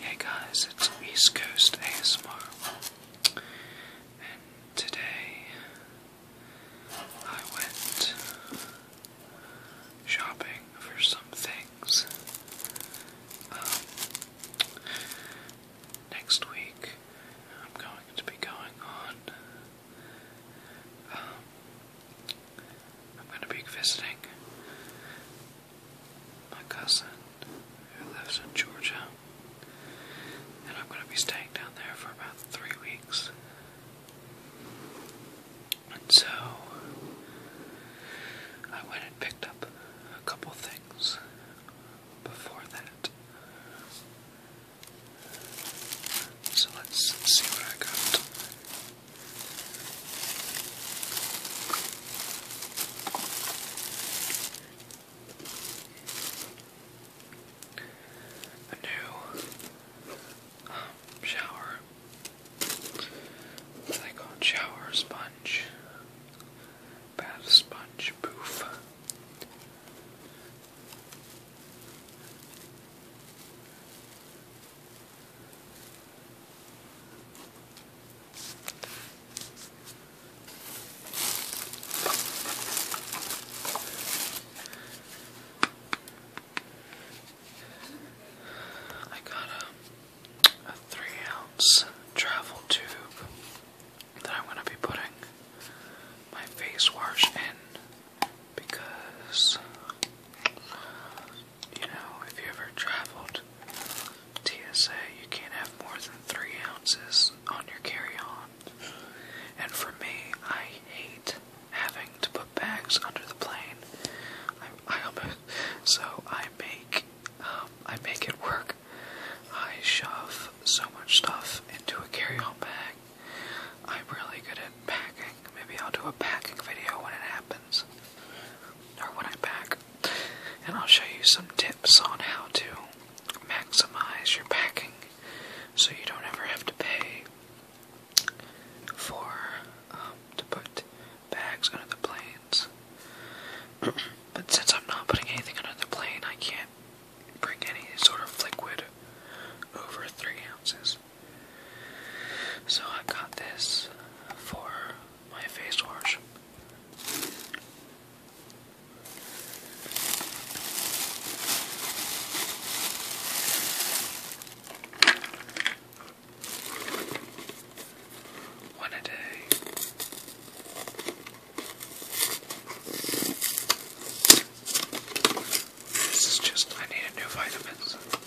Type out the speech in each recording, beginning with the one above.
Hey guys, it's East Coast ASMR, and today I went shopping for some things. Um, next week I'm going to be going on. Um, I'm going to be visiting my cousin who lives in Georgia, and I'm going to be staying down there for about three weeks. And so I went and picked up a couple things before that. So let's see what I got. A new um, shower. What Shower sponge. Bath sponge poof. I got a, three ounce travel tube that I'm going to be putting my face wash in because you know, if you ever traveled TSA, you can't have more than three ounces on your carry-on. And for me, I hate having to put bags under the plane. I, I almost, so I make, um, I make it work. I shove so much stuff into a carry-on bag. I'm really good at packing Maybe I'll do a packing video when it happens. Or when I pack. And I'll show you some tips on how to maximize your packing so you don't ever have to pay for um, to put bags under the planes. but since I'm not putting anything under the plane, I can't bring any sort of liquid over three ounces. So I've got this for my face wash. One a day. This is just, I need new vitamins.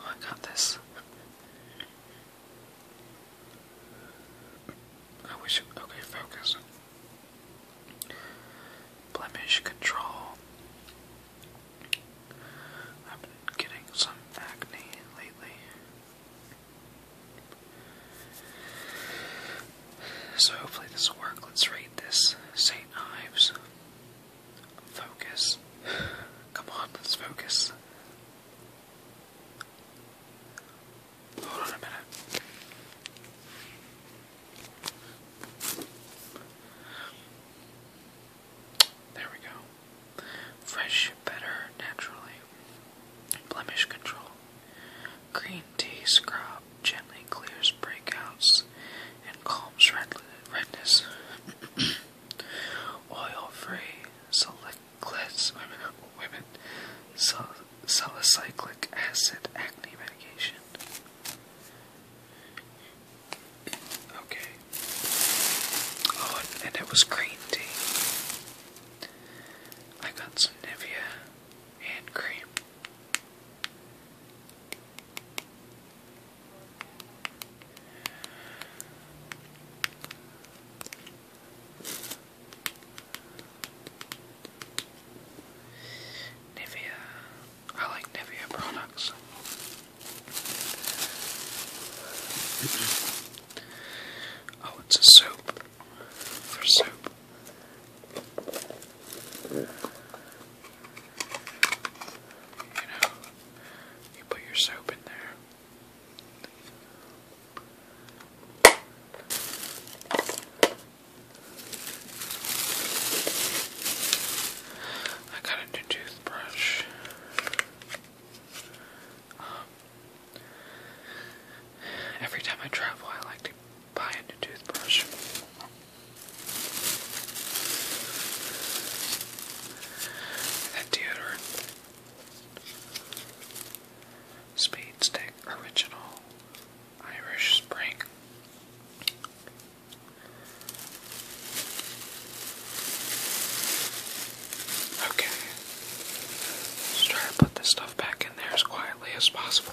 Oh, I got this. I wish. It, okay, focus. Blemish control. I've been getting some acne lately. So hopefully this will work. Let's rate this. St. Ives. Focus. Come on, let's focus. Hold on a minute. There we go. Fresh, better, naturally. Blemish control. Green tea scrub gently clears breakouts, and calms redness. Oil-free women salicylic acid acne medication. Okay. Oh, and it was green tea. I got some Nivea hand cream. Nivea. I like Nivea products. oh, it's a soap for soap. You know, you put your soap in there. I got a new toothbrush. Um, every time I travel, I like to buy a new toothbrush. That deodorant. Speed Stick Original Irish Spring. Okay. Let's try to put this stuff back in there as quietly as possible.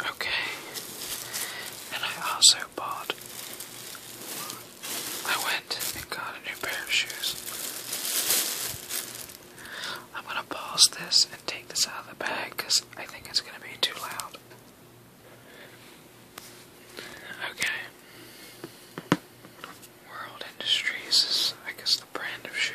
Okay. And I also bought. I went and got a new pair of shoes. I'm gonna pause this and take this out of the bag because I think it's gonna be too loud. Okay. World Industries is, I guess, the brand of shoe.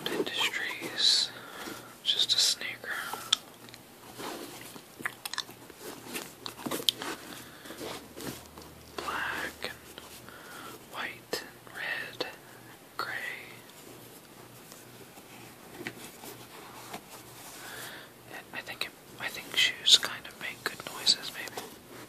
World Industries. Just a sneaker. Black and white and red and gray. I think I think shoes kind of make good noises, maybe.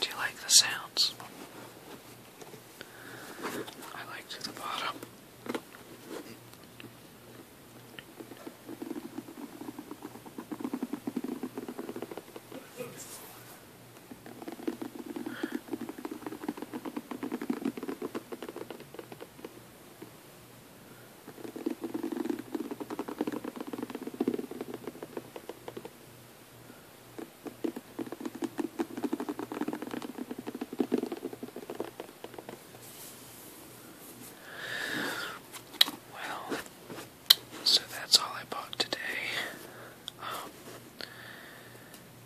Do you like the sounds? I like the bottom. Well, so that's all I bought today.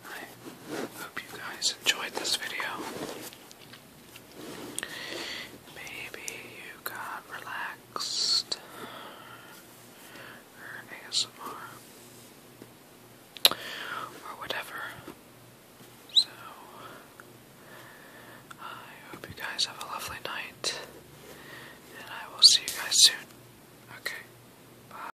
I hope you guys enjoyed this video. Maybe you got relaxed or ASMR or whatever. So I hope you guys have a lovely night and I will see you guys soon. Okay. Bye.